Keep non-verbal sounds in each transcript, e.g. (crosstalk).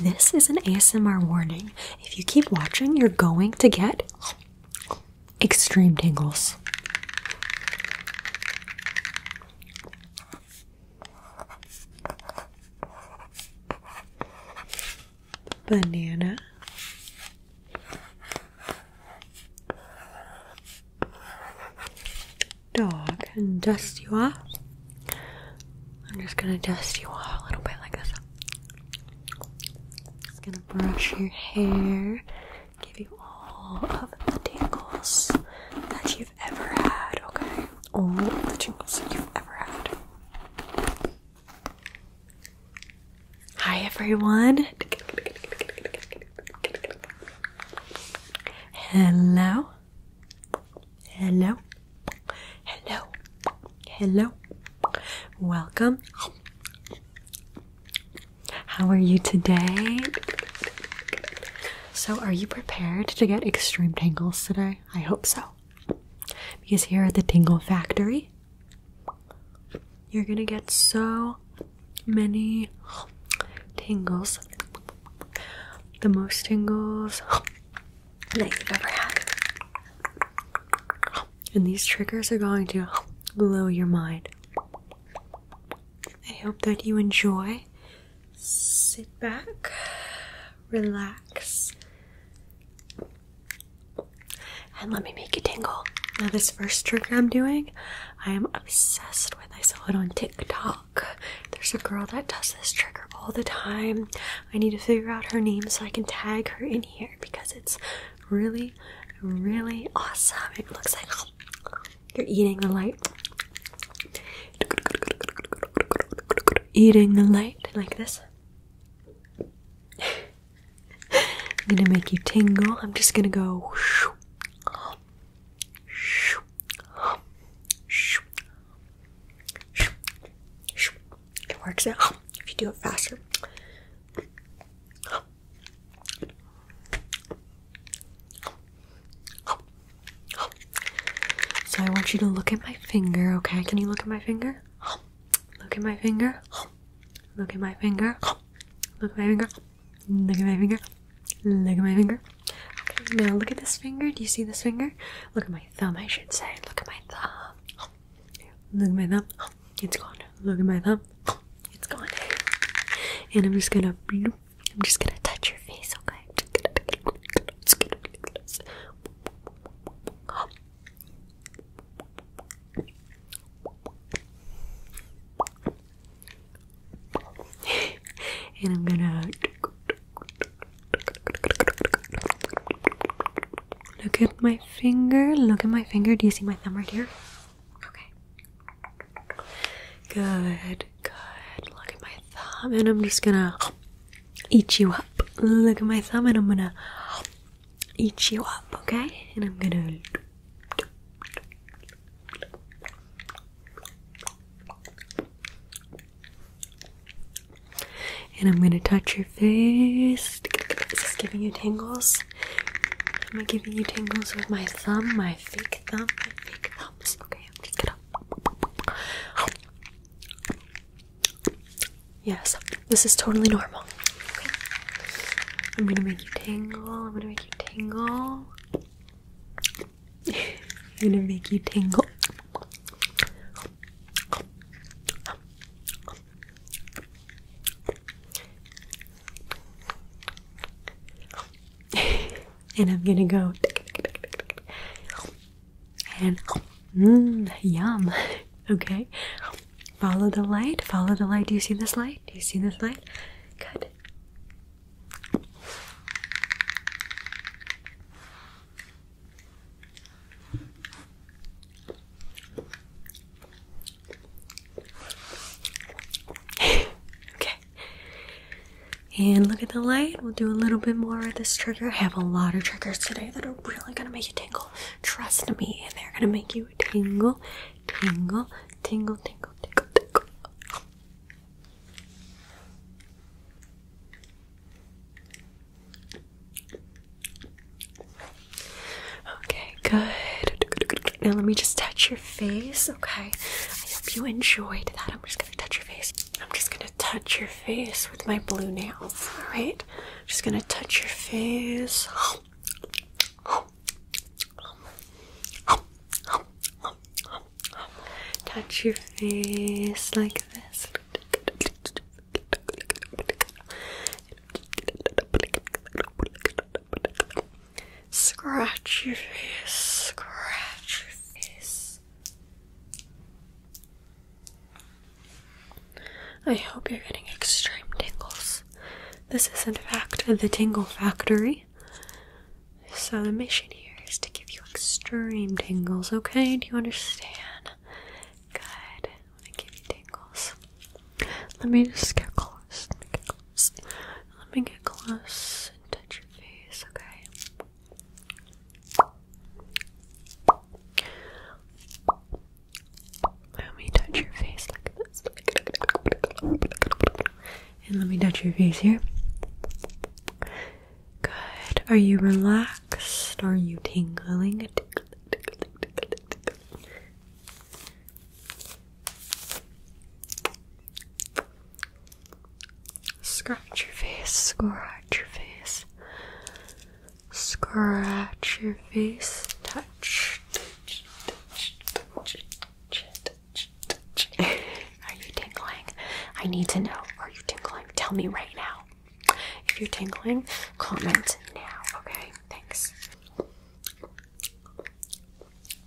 This is an ASMR warning. If you keep watching, you're going to get extreme tingles. Banana dog and dust you off. I'm just gonna dust you off a little bit like this. Just gonna brush your hair, give you all of the tangles that you've ever had, okay? All the tangles that you've ever had. Hi everyone! (laughs) Hello. Hello. Hello. Hello. Welcome. How are you today? So, are you prepared to get extreme tangles today? I hope so. Because here at the Tingle Factory, you're gonna get so many tingles. The most tingles that you've ever had. And these triggers are going to blow your mind. I hope that you enjoy. Sit back, relax, and let me make you tingle. Now, this first trigger I'm doing, I am obsessed with. I saw it on TikTok. There's a girl that does this trick all the time. I need to figure out her name so I can tag her in here because it's really, really awesome. It looks like (sniffs) you're eating the light. Eating the light like this. (laughs) I'm gonna make you tingle. I'm just gonna go. It works out if you do it faster. So I want you to look at my finger, okay? Can you look at my finger? Look at my finger. Look at my finger. Look at my finger. Look at my finger. Look at my finger. Look at my finger. Okay, now look at this finger. Do you see this finger? Look at my thumb, I should say. Look at my thumb. Look at my thumb. It's gone. Look at my thumb. It's gone. And I'm just gonna I'm just gonna touch your face, okay? (laughs) and I'm gonna look at my finger. Look at my finger. Do you see my thumb right here? Okay. Good, good. Look at my thumb, and I'm just gonna eat you up. Look at my thumb, and I'm gonna eat you up, okay? And I'm gonna and I'm gonna touch your face. Is this giving you tingles? Am I giving you tingles with my thumb, my fake thumb, my fake thumbs? Okay, I'm just gonna. Yes, this is totally normal. I'm gonna make you tingle. I'm gonna make you tingle. I'm (laughs) gonna make you tingle. (laughs) and I'm gonna go and mmm, yum. (laughs) Okay. Follow the light. Follow the light. Do you see this light? Do you see this light? Good. (sighs) okay. And look at the light. We'll do a little bit more of this trigger. I have a lot of triggers today that are really going to make you tingle. Trust me, and they're going to make you tingle, tingle, tingle, tingle, tingle, tingle. Okay, good. Now let me just touch your face, okay? I hope you enjoyed that. I'm just gonna touch your face. I'm just gonna touch your face with my blue nails, alright? Just gonna touch your face touch your face like this. Scratch your face, scratch your face. I hope you're getting extreme tingles. This is, in fact, the Tingle Factory. So, the mission here is to give you extreme tingles, okay? Do you understand? Good. I want give you tingles. Let me just get close. Let me get close, Let me get close and touch your face, okay? Let me touch your face like this. And let me touch your face here. Good. Are you relaxed? Are you tingling? Scratch your face, scratch your face, scratch your face, touch, touch, are you tingling? I need to know. Are you tingling? Tell me right now. If you're tingling, comment now. Okay, thanks.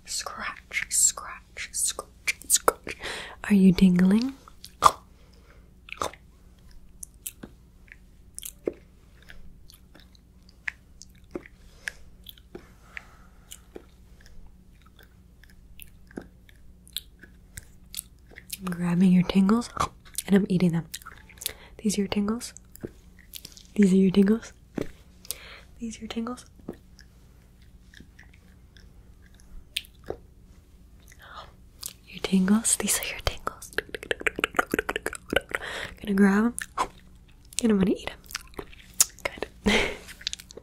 Scratch, scratch, scratch, scratch. Are you tingling? I'm grabbing your tingles and I'm eating them. These are your tingles. These are your tingles. These are your tingles. Your tingles. These are your tingles. Gonna grab them and I'm gonna eat them. Good. (laughs)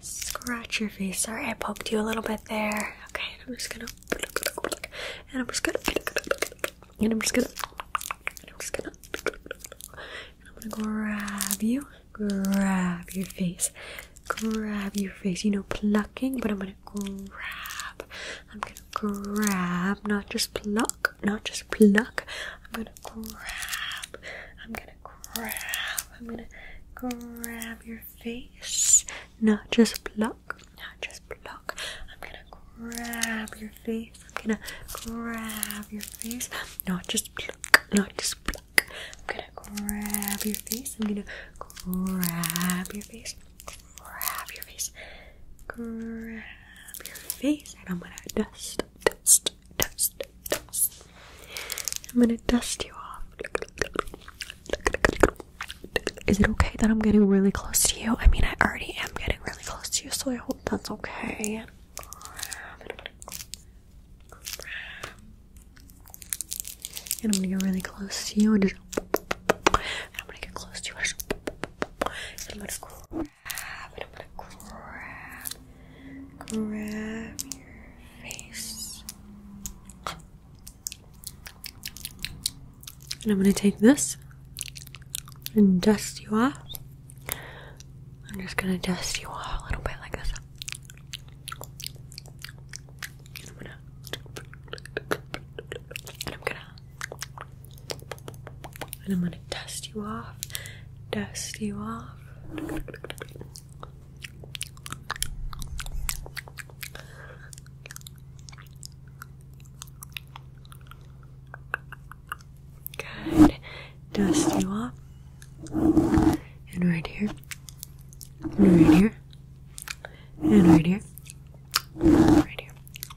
scratch your face. Sorry, I poked you a little bit there. Okay, I'm just gonna and I'm just gonna and I'm just gonna and I'm just gonna and I'm gonna grab you, grab your face, grab your face. You know, plucking, but I'm gonna grab. I'm gonna grab, not just pluck, not just pluck. I'm gonna grab. I'm gonna grab. I'm gonna grab your face. Not just block, not just block. I'm gonna grab your face. I'm gonna grab your face. Not just block, not just block. I'm gonna grab your face. I'm gonna grab your face. Grab your face. Grab your face. And I'm gonna dust, dust, dust, dust. I'm gonna dust you off. Is it okay that I'm getting really close to you? I mean, I already am getting really close to you, so I hope that's okay. And I'm gonna get really close to you and I'm gonna get close to you. and I'm gonna grab. And I'm gonna grab. Grab your face. And I'm going to take this and dust you off. I'm just going to dust you off a little bit like this. And I'm going to. And I'm going to. dust you off. Dust you off. Good. Dust you off. And right here. And right here. And right here. Right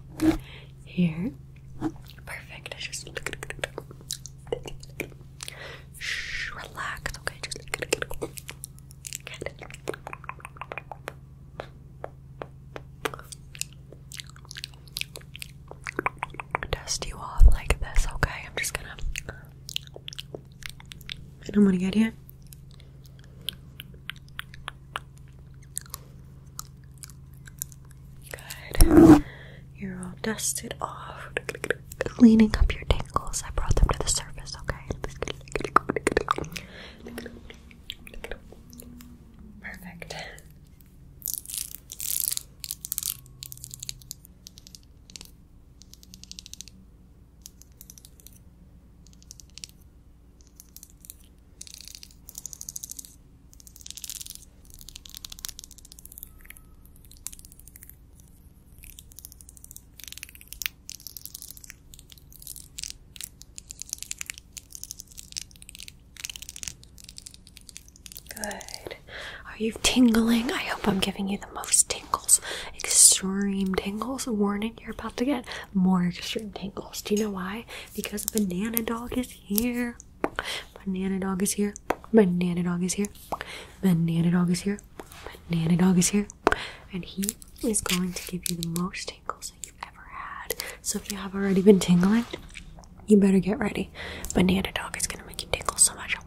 here. Here. Perfect. just relax, okay? Dust you off like this, okay? I'm just gonna. I don't want to get you. Good. You're all dusted off cleaning up your tangles. I brought them to the surface, okay? Perfect. Good. Are you tingling? I hope I'm giving you the most tingles. Extreme tingles. Warning, you're about to get more extreme tingles. Do you know why? Because Banana Dog is here. Banana Dog is here. Banana Dog is here. Banana Dog is here. Banana Dog is here and he is going to give you the most tingles that you've ever had. So if you have already been tingling, you better get ready. Banana Dog is gonna make you tingle so much.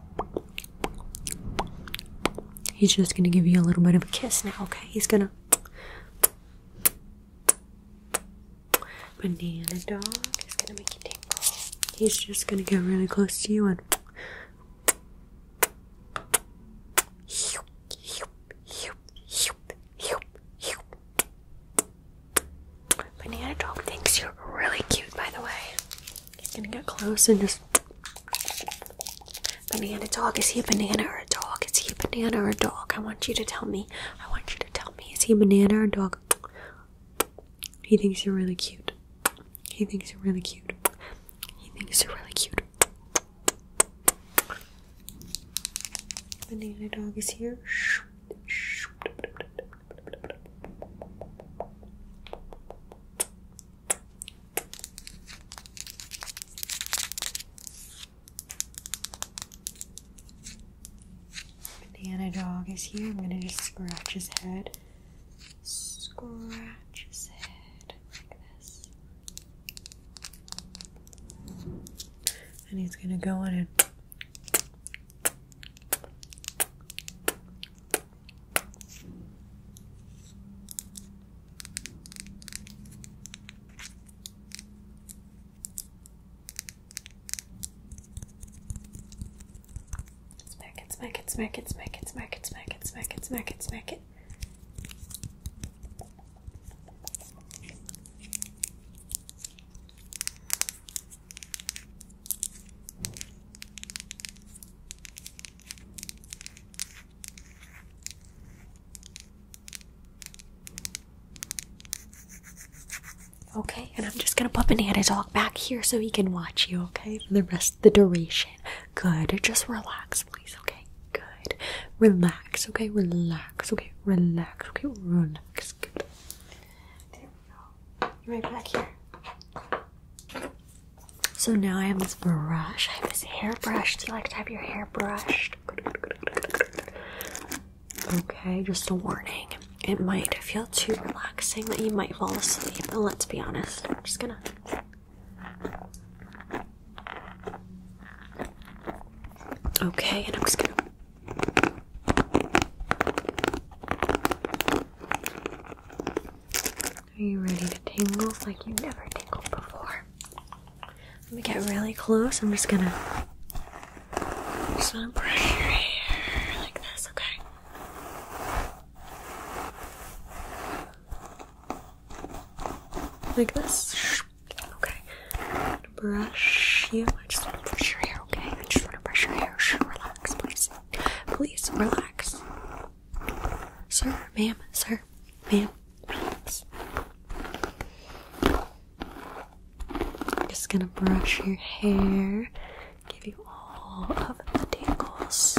He's just gonna give you a little bit of a kiss now, okay? He's gonna. Banana Dog is gonna make you tingle. He's just gonna get really close to you and Banana dog thinks you're really cute, by the way. he's gonna get close and just. Banana dog, is he a banana or a dog? Is he a banana or a dog? I want you to tell me. I want you to tell me. Is he a banana or a dog? He thinks you're really cute. He thinks you're really cute. He thinks you're really cute. The Nana dog is here. Banana dog is here. I'm gonna just scratch his head scratch his head like this. And he's gonna go in and Smack it, smack it, smack it, smack it, smack it, smack it, smack it, smack it, smack it. Okay, and I'm just gonna put banana dog back here so he can watch you, okay, for the rest of the duration. Good. Just relax, please. Okay. Good. Relax. Okay. Relax. Okay. Relax. Okay. Relax. So now I have this brush. I have this hairbrush. Do you like to have your hair brushed? Okay, just a warning. It might feel too relaxing that you might fall asleep. And let's be honest, I'm just gonna Okay, and I'm just gonna Are you ready to tingle like you never tingled before? Let me get really close. I'm just gonna just gonna pressure here like this, okay? like this. Okay, brush you. I just want to brush your hair. Okay, I just want to brush your hair. Relax, please. Please relax, sir, ma'am, sir, ma'am. Relax. Just gonna brush your hair, give you all of the tingles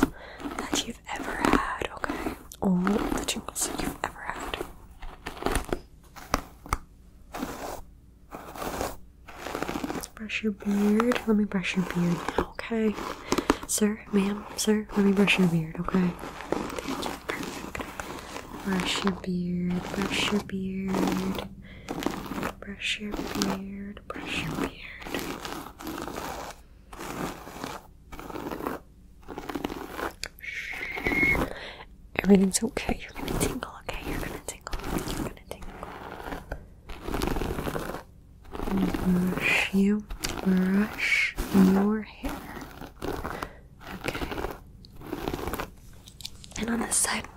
that you've ever had, okay? All the jingles you've ever had. Let's brush your beard. Let me brush your beard okay? Sir, ma'am, sir, let me brush your beard, okay? Brush your beard, brush your beard, brush your beard, brush your beard. Everything's okay. You're gonna tingle, okay? You're gonna tingle. You're gonna tingle. Brush you. Brush your hair. Okay. And on this side.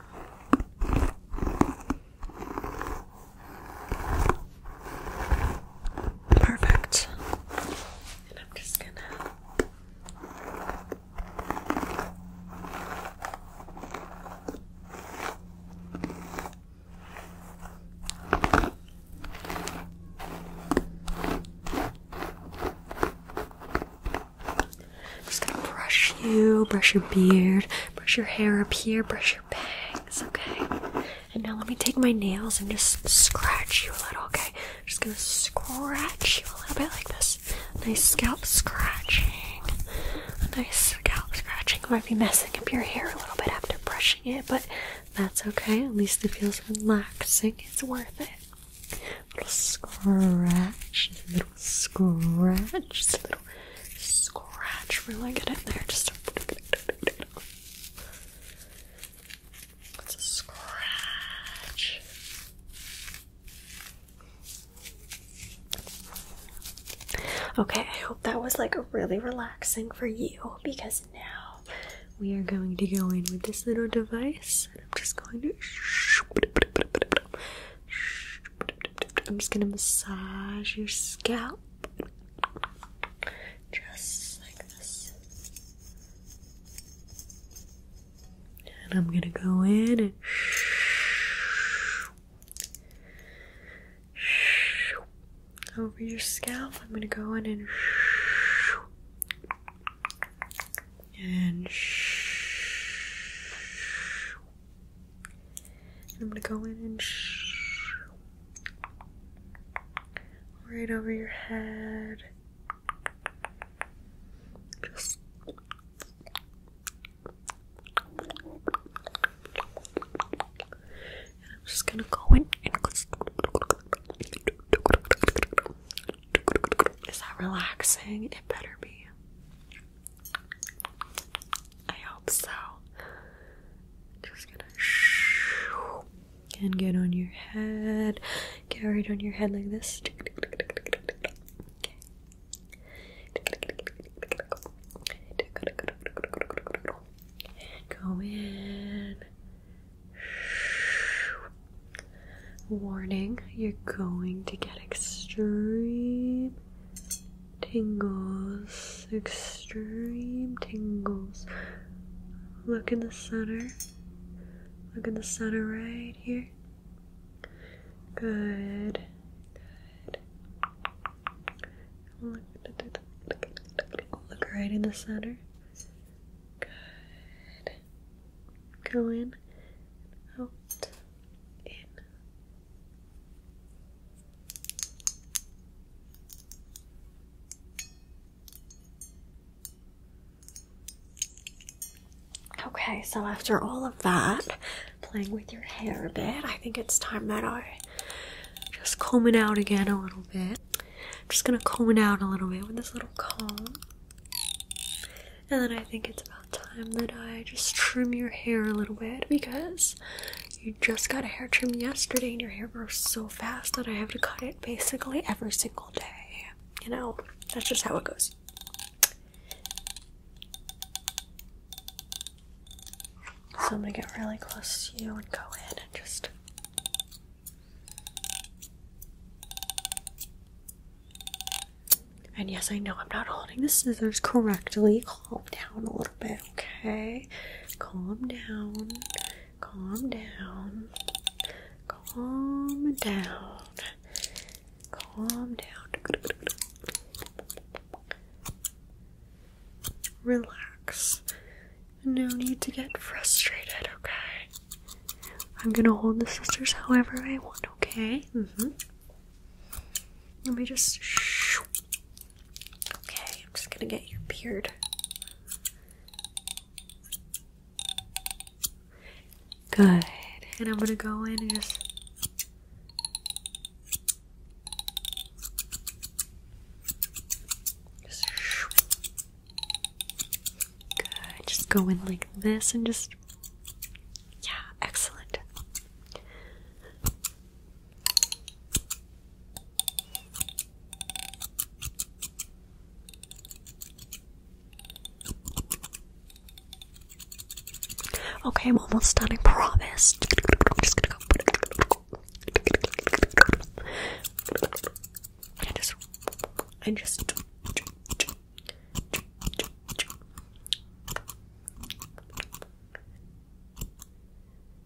Perfect. And I'm just gonna just gonna brush you, brush your beard, brush your hair up here, brush your bangs, okay? And now let me take my nails and just scratch you a little, okay? just gonna scratch you a little bit like this. Nice scalp scratching. A nice scalp scratching. Might be messing up your hair a little bit after brushing it, but that's okay. At least it feels relaxing. It's worth it. little scratch, little scratch, just a little scratch. Really get in there. Just a it's a scratch. Okay, I hope that was like really relaxing for you because now we are going to go in with this little device. And I'm just going to. I'm just going to massage your scalp. Just like this. And I'm gonna go in and over your scalp. I'm gonna go in and and I'm gonna go in and shh, right over your head. Just and I'm just gonna go in and is that relaxing? It better be. I hope so. Just gonna shoo, and get on your head. Get it on your head like this. Okay. Go in. Warning, you're going to get extreme tingles, extreme tingles. Look in the center. Look in the center right here. Good. Good. Look, right in the center. Good. Go in, out, in, Okay, so after all of that, playing with your hair a bit, I think it's time that I just comb it out again a little bit. just gonna comb it out a little bit with this little comb. And then I think it's about time that I just trim your hair a little bit because you just got a hair trim yesterday and your hair grows so fast that I have to cut it basically every single day. You know, that's just how it goes. So I'm gonna get really close to you and go in and just. And yes, I know I'm not holding the scissors correctly calm down a little bit, okay? Calm down, calm down, calm down, calm down. Relax. No need to get frustrated, okay? I'm gonna hold the sisters however I want, okay? Mm-hmm. Let me just. Okay, I'm just gonna get your beard. Good. And I'm gonna go in and just. Just. Good. Just go in like this and just. Yeah, excellent. Okay, I'm almost done, I promise. I'm just gonna go. I just. I just.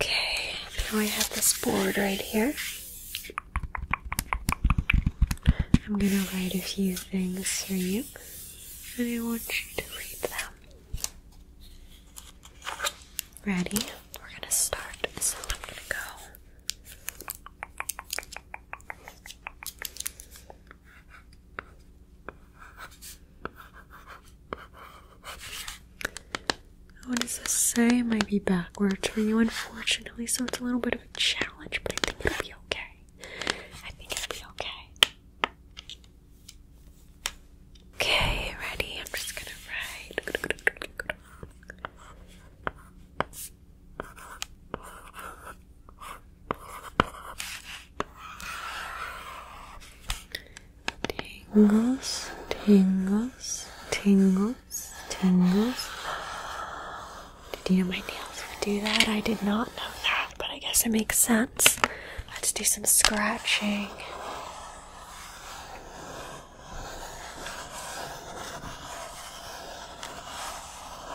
Okay, now I have this board right here. I'm gonna write a few things for you, and I want you to read them. Ready? We're gonna start, so I'm gonna go what does this say? It might be backwards for you, unfortunately, so it's a little bit of a challenge, but I think it'll be okay. I think it'll be okay. Okay, ready? I'm just gonna write. Tingles, tingles, tingles, tingles. Did you know my nails would do that? I did not know that, but I guess it makes sense. Let's do some scratching.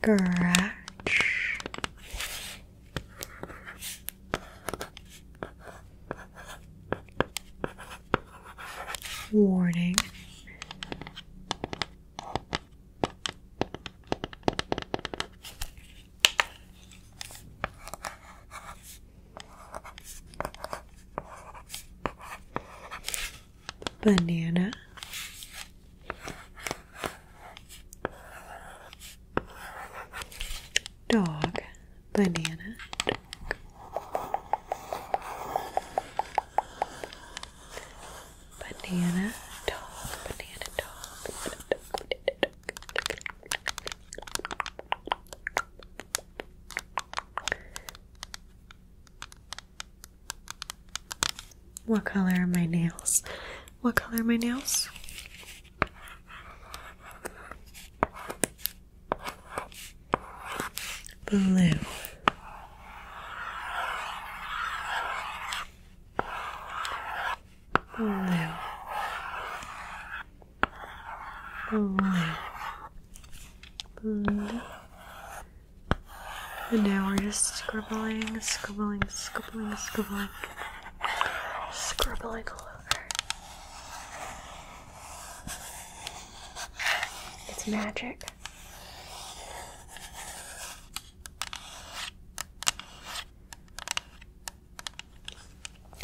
Scratch. Warning banana dog banana dog. banana dog banana dog what color are my nails? What color are my nails? Blue. Olha. Olha. And now we're just scribbling, scribbling, scribbling, scribbling, scribbling all over. It's magic.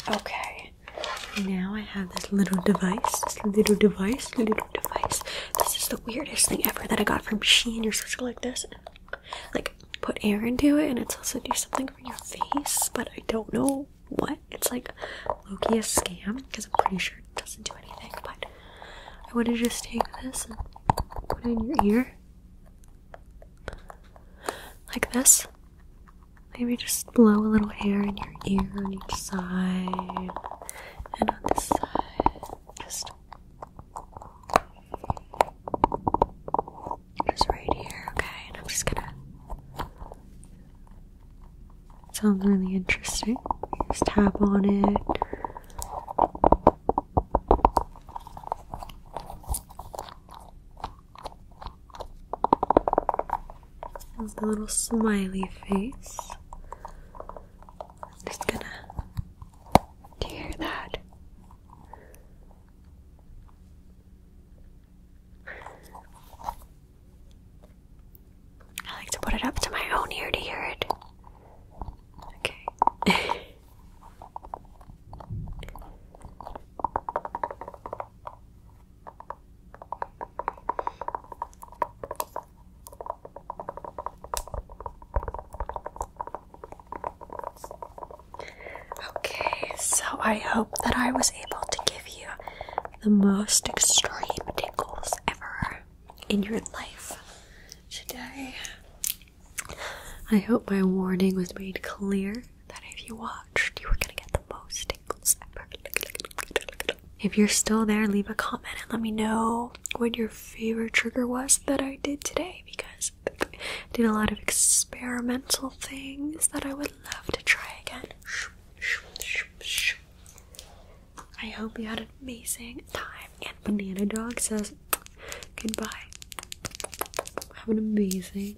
Okay, now I have this little device. This little device, little device. This is the weirdest thing ever that I got from Shein. You're supposed to like this, like put air into it, and it's also do something for your face. But I don't know what. It's like Loki a scam because I'm pretty sure it doesn't do anything. But I want to just take this and put it in your ear like this. Maybe just blow a little air in your ear on each side and on this side. Just, just right here, okay? And I'm just gonna. sounds really interesting. Just tap on it. There's the little smiley face. I'm just gonna. hear that? I like to put it up to my own ear to hear it. Okay. (laughs) Okay, so I hope that I was able to give you the most extreme tickles ever in your life today. I hope my warning was made clear that if you watched, you were gonna get the most tingles ever. If you're still there, leave a comment and let me know what your favorite trigger was that I did today because I did a lot of experimental things that I would love to try again. I hope you had an amazing time. And Banana Dog says goodbye. Have an amazing